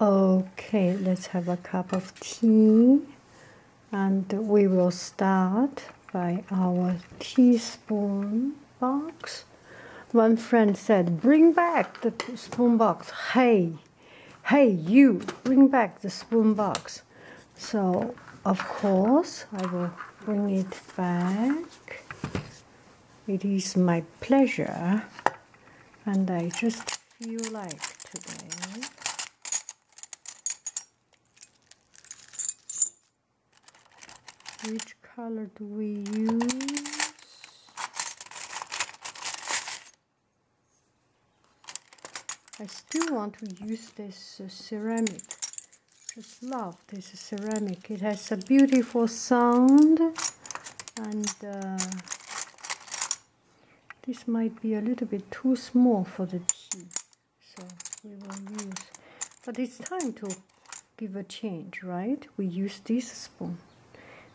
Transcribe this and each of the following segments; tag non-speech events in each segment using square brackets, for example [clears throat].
Okay, let's have a cup of tea and we will start by our teaspoon box. One friend said, Bring back the spoon box. Hey, hey, you, bring back the spoon box. So, of course, I will bring it back it is my pleasure, and I just feel like today. Which color do we use? I still want to use this uh, ceramic. Just love this ceramic. It has a beautiful sound and uh, this might be a little bit too small for the tea, so we will use. But it's time to give a change, right? We use this spoon.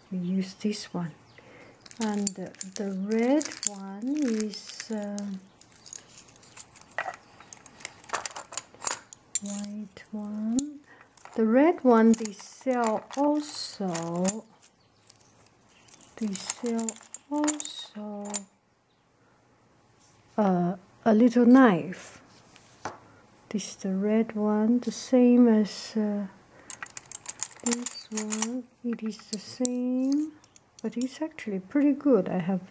We use this one. And the, red one is um, white one the red one they sell also they sell also uh, a little knife this is the red one the same as uh, this one it is the same but it's actually pretty good i have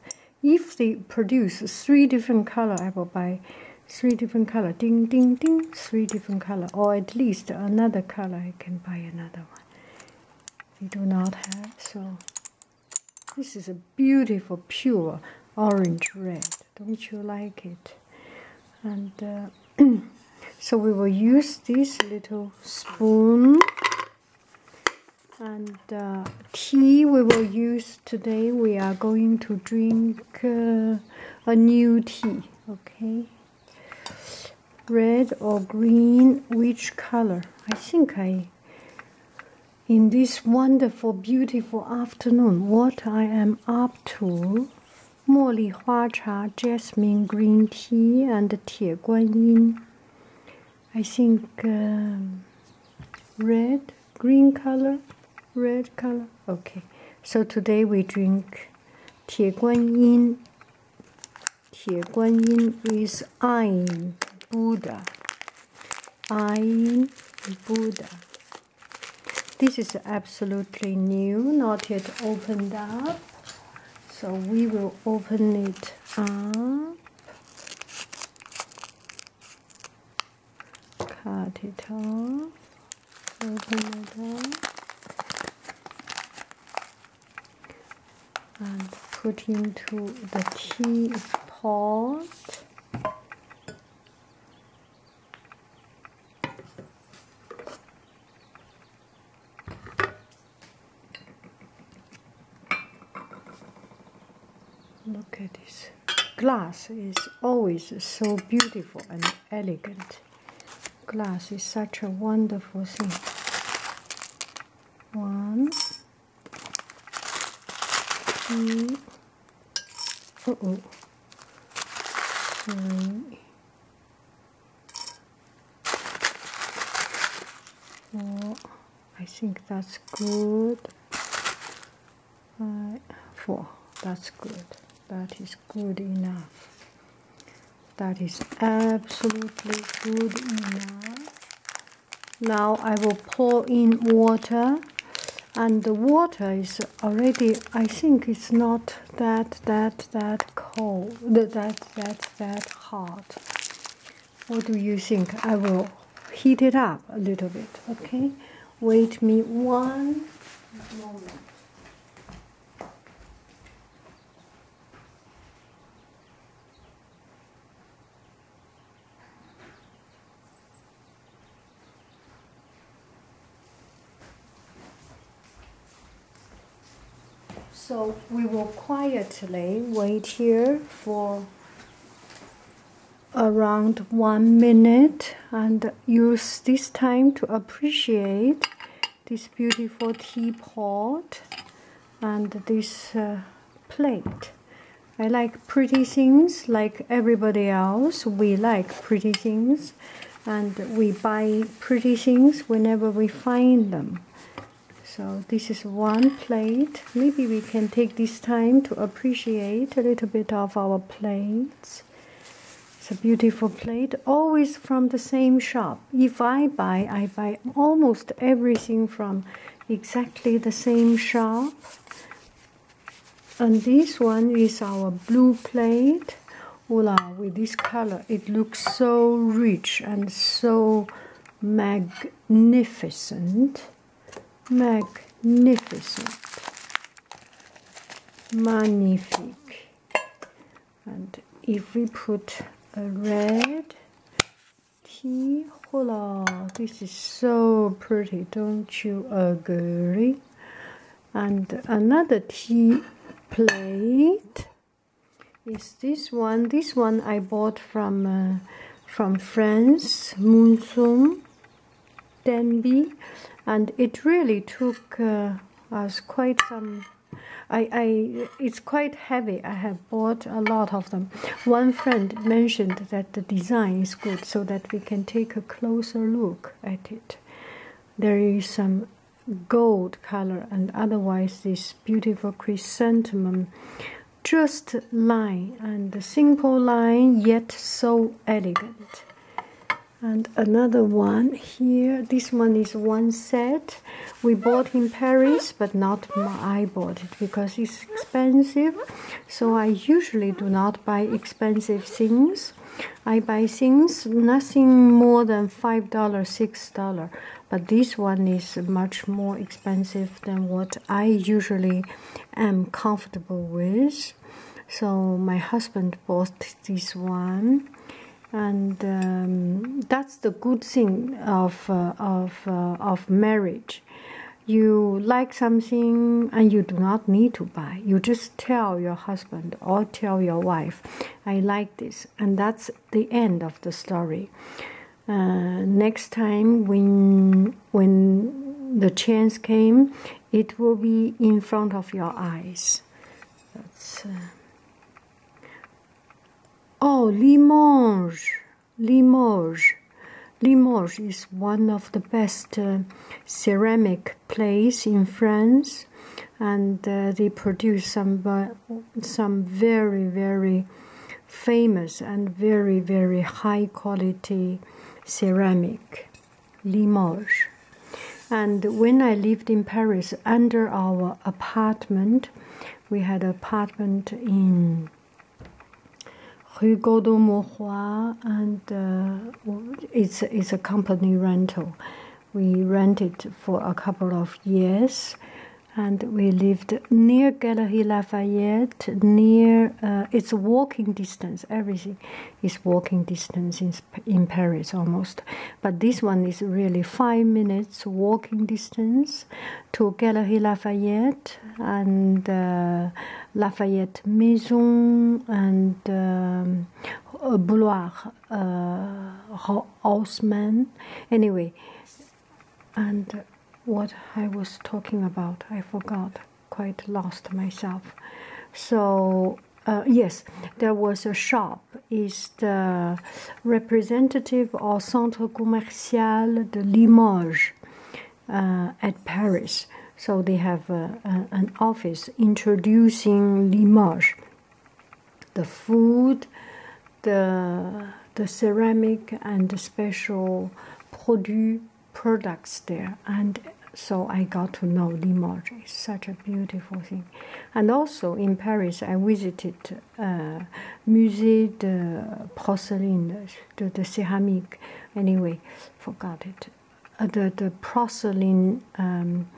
if they produce three different color i will buy three different color ding ding ding three different color or at least another color I can buy another one we do not have so this is a beautiful pure orange red don't you like it and uh, [clears throat] so we will use this little spoon and uh, tea we will use today we are going to drink uh, a new tea okay red or green which color i think i in this wonderful beautiful afternoon what i am up to Mo li jasmine green tea and tie guan i think um, red green color red color okay so today we drink 铁观音铁观音 is iron buddha iron buddha this is absolutely new not yet opened up so we will open it up cut it off, open it up, and put into the tea pot. Look at this glass is always so beautiful and elegant. Glass is such a wonderful thing. One, I think that's good five, four. That's good. That is good enough. That is absolutely good enough. Now I will pour in water and the water is already I think it's not that that that cold that that that hot. What do you think? I will heat it up a little bit, okay? Wait me one moment. So we will quietly wait here for around one minute and use this time to appreciate this beautiful teapot and this uh, plate. I like pretty things like everybody else. We like pretty things and we buy pretty things whenever we find them. So this is one plate. Maybe we can take this time to appreciate a little bit of our plates. It's a beautiful plate, always from the same shop. If I buy, I buy almost everything from exactly the same shop. And this one is our blue plate. Voila, with this color, it looks so rich and so magnificent magnificent, magnifique. And if we put a red tea, this is so pretty, don't you agree? And another tea plate is this one. This one I bought from uh, from France, Monsoon Denby, and it really took uh, us quite some I, I it's quite heavy I have bought a lot of them one friend mentioned that the design is good so that we can take a closer look at it there is some gold color and otherwise this beautiful chrysanthemum just line and simple line yet so elegant and another one here this one is one set we bought in paris but not i bought it because it's expensive so i usually do not buy expensive things i buy things nothing more than five dollar six dollar but this one is much more expensive than what i usually am comfortable with so my husband bought this one and um, that's the good thing of uh, of uh, of marriage you like something and you do not need to buy you just tell your husband or tell your wife i like this and that's the end of the story uh, next time when when the chance came it will be in front of your eyes. Uh, oh, Limoges, Limoges. Limoges is one of the best uh, ceramic place in France, and uh, they produce some uh, some very very famous and very very high quality ceramic. Limoges. And when I lived in Paris, under our apartment, we had an apartment in Rue Gaudon Mauroy, and uh, it's, it's a company rental. We rented for a couple of years, and we lived near Galerie Lafayette, near there uh, it's walking distance. Everything is walking distance in, in Paris almost. But this one is really five minutes walking distance to Galerie Lafayette and uh, Lafayette Maison and um, Boulevard uh, Anyway, and uh, what I was talking about. I forgot, quite lost myself. So, uh, yes, there was a shop, is the representative of Centre Commercial de Limoges uh, at Paris. So, they have uh, an office introducing Limoges, the food, the the ceramic and the special produits products there, and so I got to know Limoges. It's such a beautiful thing. And also in Paris, I visited uh, Musée de Porcelain, the, the ceramic, anyway, forgot it. Uh, the, the porcelain um,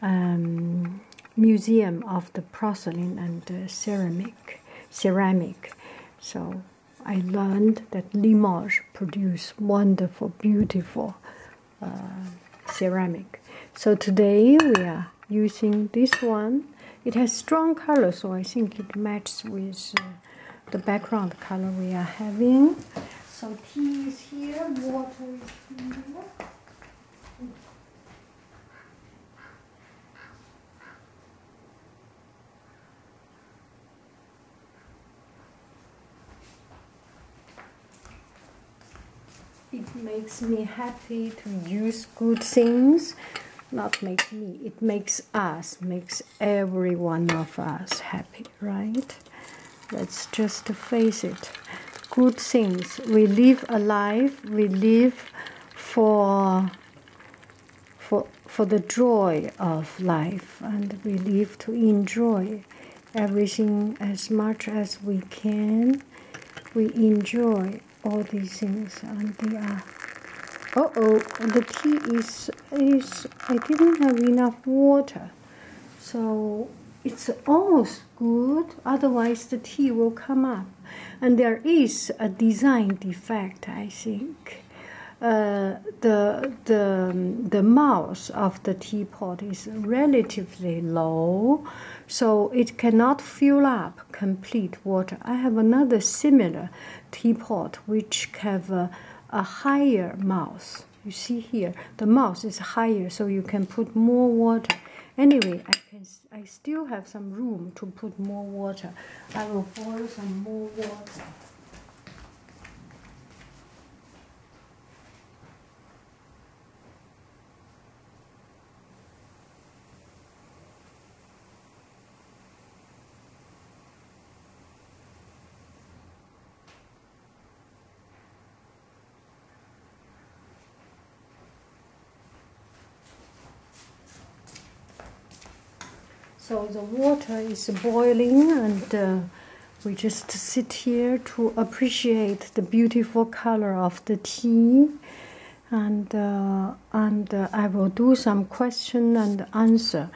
um, museum of the porcelain and ceramic ceramic so I learned that Limoges produce wonderful, beautiful uh, ceramic. So today we are using this one. It has strong color, so I think it matches with uh, the background color we are having. So tea is here, water is here. It makes me happy to use good things, not make me, it makes us, makes every one of us happy, right? Let's just face it. Good things. We live a life. we live for for, for the joy of life, and we live to enjoy everything as much as we can. We enjoy all these things, and they are. Uh oh, the tea is is. I didn't have enough water, so it's almost good. Otherwise, the tea will come up, and there is a design defect. I think. Uh, the, the, the mouth of the teapot is relatively low, so it cannot fill up complete water. I have another similar teapot which have a, a higher mouth. You see here, the mouth is higher, so you can put more water. Anyway, I can I still have some room to put more water. I will boil some more water. So the water is boiling and uh, we just sit here to appreciate the beautiful color of the tea and uh, and uh, I will do some question and answer.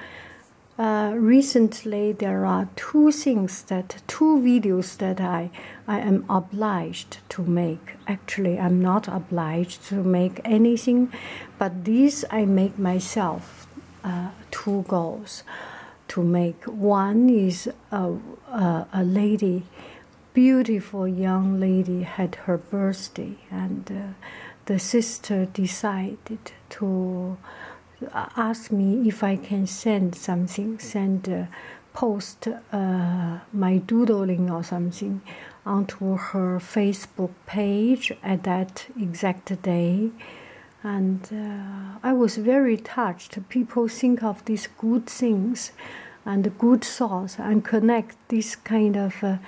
recently, there are two things that two videos that I I am obliged to make. Actually, I'm not obliged to make anything, but this I make myself. Uh, two goals to make. One is a, a, lady, beautiful young lady, had her birthday, and uh, the sister decided to uh, ask me if I can send something, send. post my doodling or something onto her Facebook page at that exact day, and uh, I was very touched. People think of these good things and good thoughts and connect this kind of uh,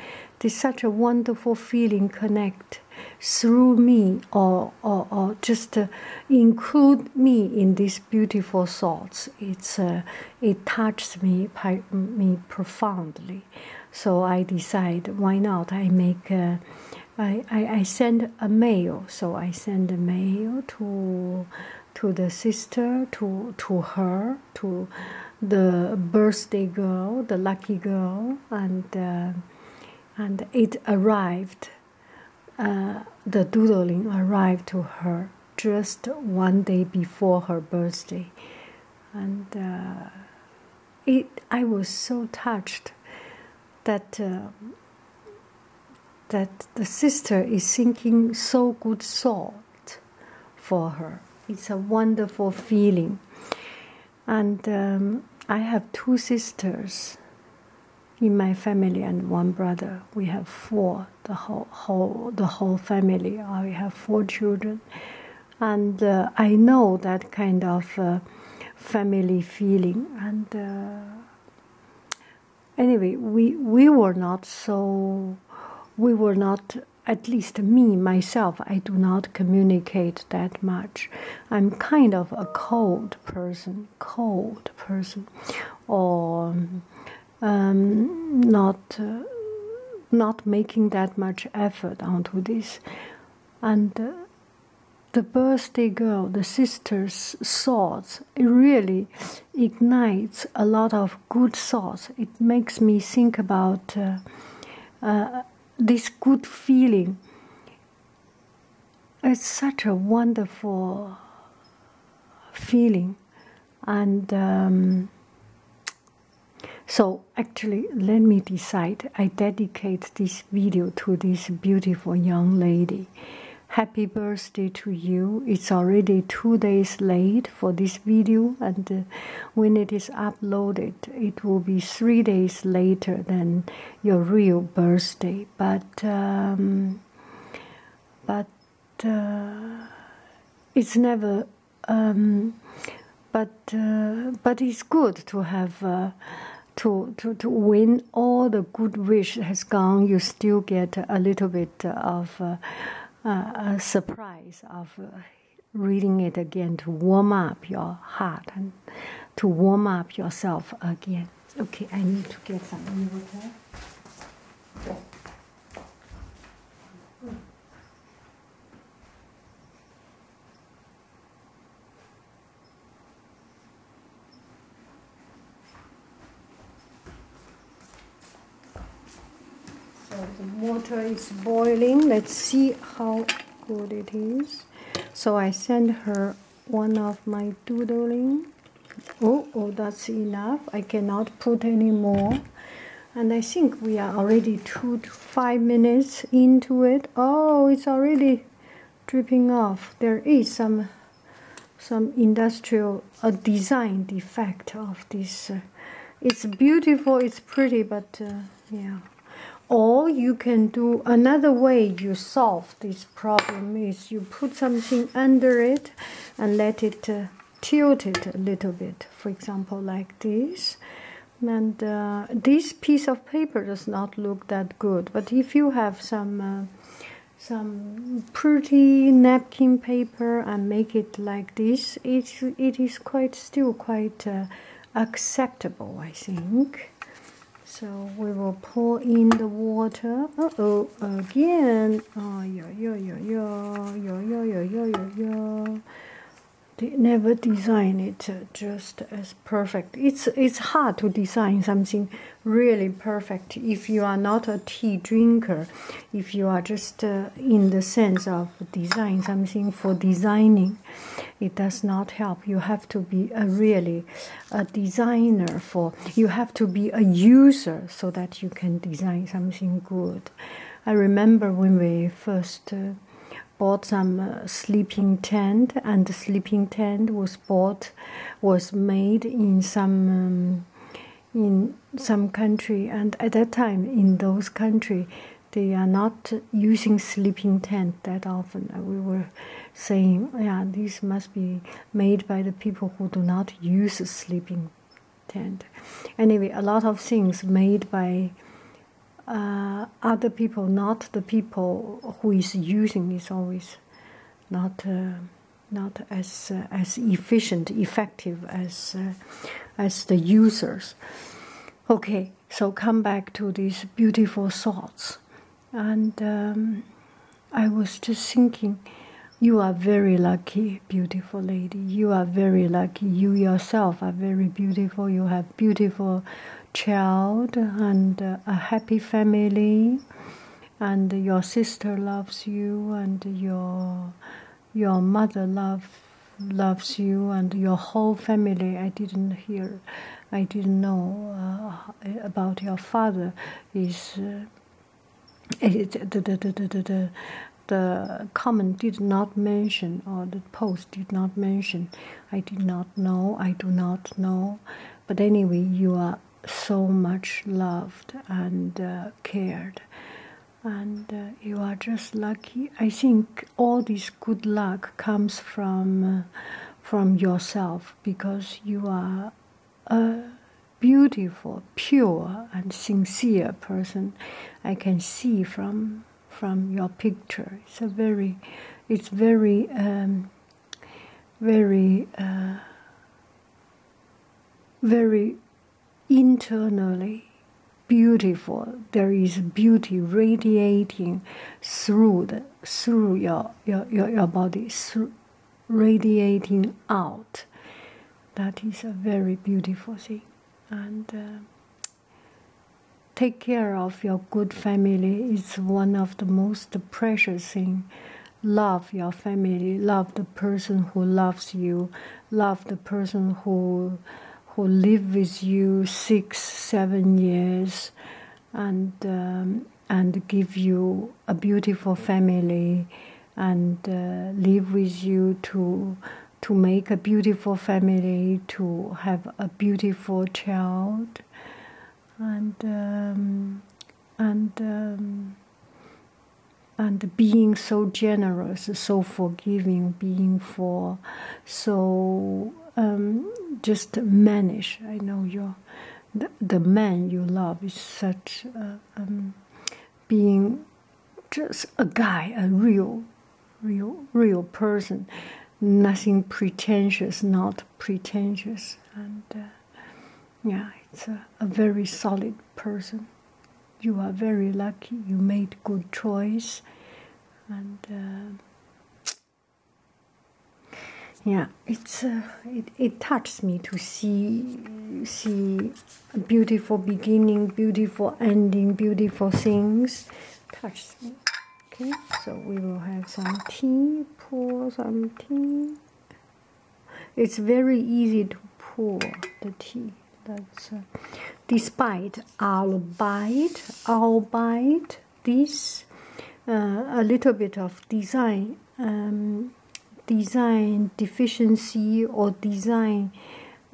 this such a wonderful feeling connect through me or or, or just uh, include me in these beautiful thoughts it's uh, it touches me me profoundly so I decide why not? I make I send a mail. So I send a mail to to the sister, to to her, to the birthday girl, the lucky girl, and uh, and it arrived. Uh, the doodling arrived to her just one day before her birthday and uh, it, I was so touched that uh, that the sister is thinking so good thought for her. It's a wonderful feeling, and um, I have two sisters in my family and one brother. We have four. The whole, whole the whole family. I have four children and uh, I know that kind of uh, family feeling. And uh, anyway, we we were not so, we were not. At least me myself, I do not communicate that much. I'm kind of a cold person, cold person, or um, not uh, not making that much effort onto this and uh, the birthday girl the sister's thoughts really ignites a lot of good thoughts it makes me think about uh, this good feeling it's such a wonderful feeling and um, so actually, let me decide. I dedicate this video to this beautiful young lady. Happy birthday to you. It's already two days late for this video and uh, when it is uploaded, it will be three days later than your real birthday. But, um, but uh, it's never um, but uh, but it's good to have uh, to, to to win all the good wish has gone. You still get a little bit of uh, surprise of reading it again to warm up your heart and to warm up yourself again. Okay, I need to get some water. So the water is boiling let's see how good it is so I sent her one of my doodling oh oh that's enough I cannot put any more and I think we are already two to five minutes into it. Oh, it's already dripping off. There is some some industrial design defect of this. Uh, it's beautiful, it's pretty, but uh, yeah. Or you can do another way you solve this problem is you put something under it and let it uh, tilt it a little bit, for example, like this. And uh, this piece of paper does not look that good, but if you have some uh, some pretty napkin paper and make it like this, it it is quite still quite uh, acceptable, I think. So we will pour in the water. oh, again Oh, yo, yo, yo, yo, yo, yo, yo, yo, yo, yo. They never design it just as perfect. It's it's hard to design something really perfect if you are not a tea drinker. If you are just in the sense of design something for designing, it does not help. You have to be a really a designer for. You have to be a user so that you can design something good. I remember when we first uh, bought some uh, sleeping tent, and the sleeping tent was bought, was made in some. Um, in some country and at that time in those country they are not using sleeping tent that often uh, we were saying yeah these must be made by the people who do not use sleeping tent. Anyway, a lot of things made by uh, other people, not the people who is using is always not uh, not as uh, as efficient, effective as as the users. Okay, so come back to these beautiful thoughts, and um, I was just thinking you are very lucky, beautiful lady. You are very lucky. You yourself are very beautiful. You have beautiful child and uh, a happy family and your sister loves you and your your mother love loves you and your whole family i didn't hear i didn't know uh, about your father is the, comment did not mention or the post did not mention i did not know i do not know but anyway you are so much loved and uh, cared and uh, you are just lucky i think all this good luck comes from uh, from yourself because you are uh, beautiful, pure, and sincere person I can see from from your picture. It's a very, it's very, um, very, uh, very internally beautiful. There is beauty radiating through the through your your your, your body through radiating out. That is a very beautiful thing. And uh, take care of your good family It's one of the most precious thing. Love your family, love the person who loves you, love the person who who live with you six, seven years, and um, and give you a beautiful family and uh, live with you to to make a beautiful family, to have a beautiful child, and um, and um, and being so generous, so forgiving, being for so um, just manish. I know you're the, man you love is such being just a guy, a real, real, real person, nothing pretentious, not pretentious, and uh, yeah, it's a, very solid person. You are very lucky. You made good choice, and uh, yeah, it's uh, it it touches me to see see beautiful beginning, beautiful ending, beautiful things. Touch me. Okay, so we will have some tea, pour some tea. It's very easy to pour the tea. That's uh, despite albeit, albeit this uh, a little bit of design um, design deficiency or design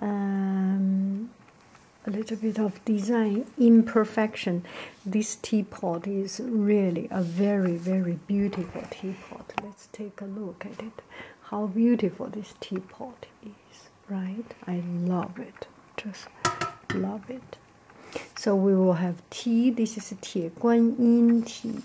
um, a little bit of design imperfection this teapot is really a very very beautiful teapot let's take a look at it how beautiful this teapot is right i love it just love it so we will have tea this is tie guan yin tea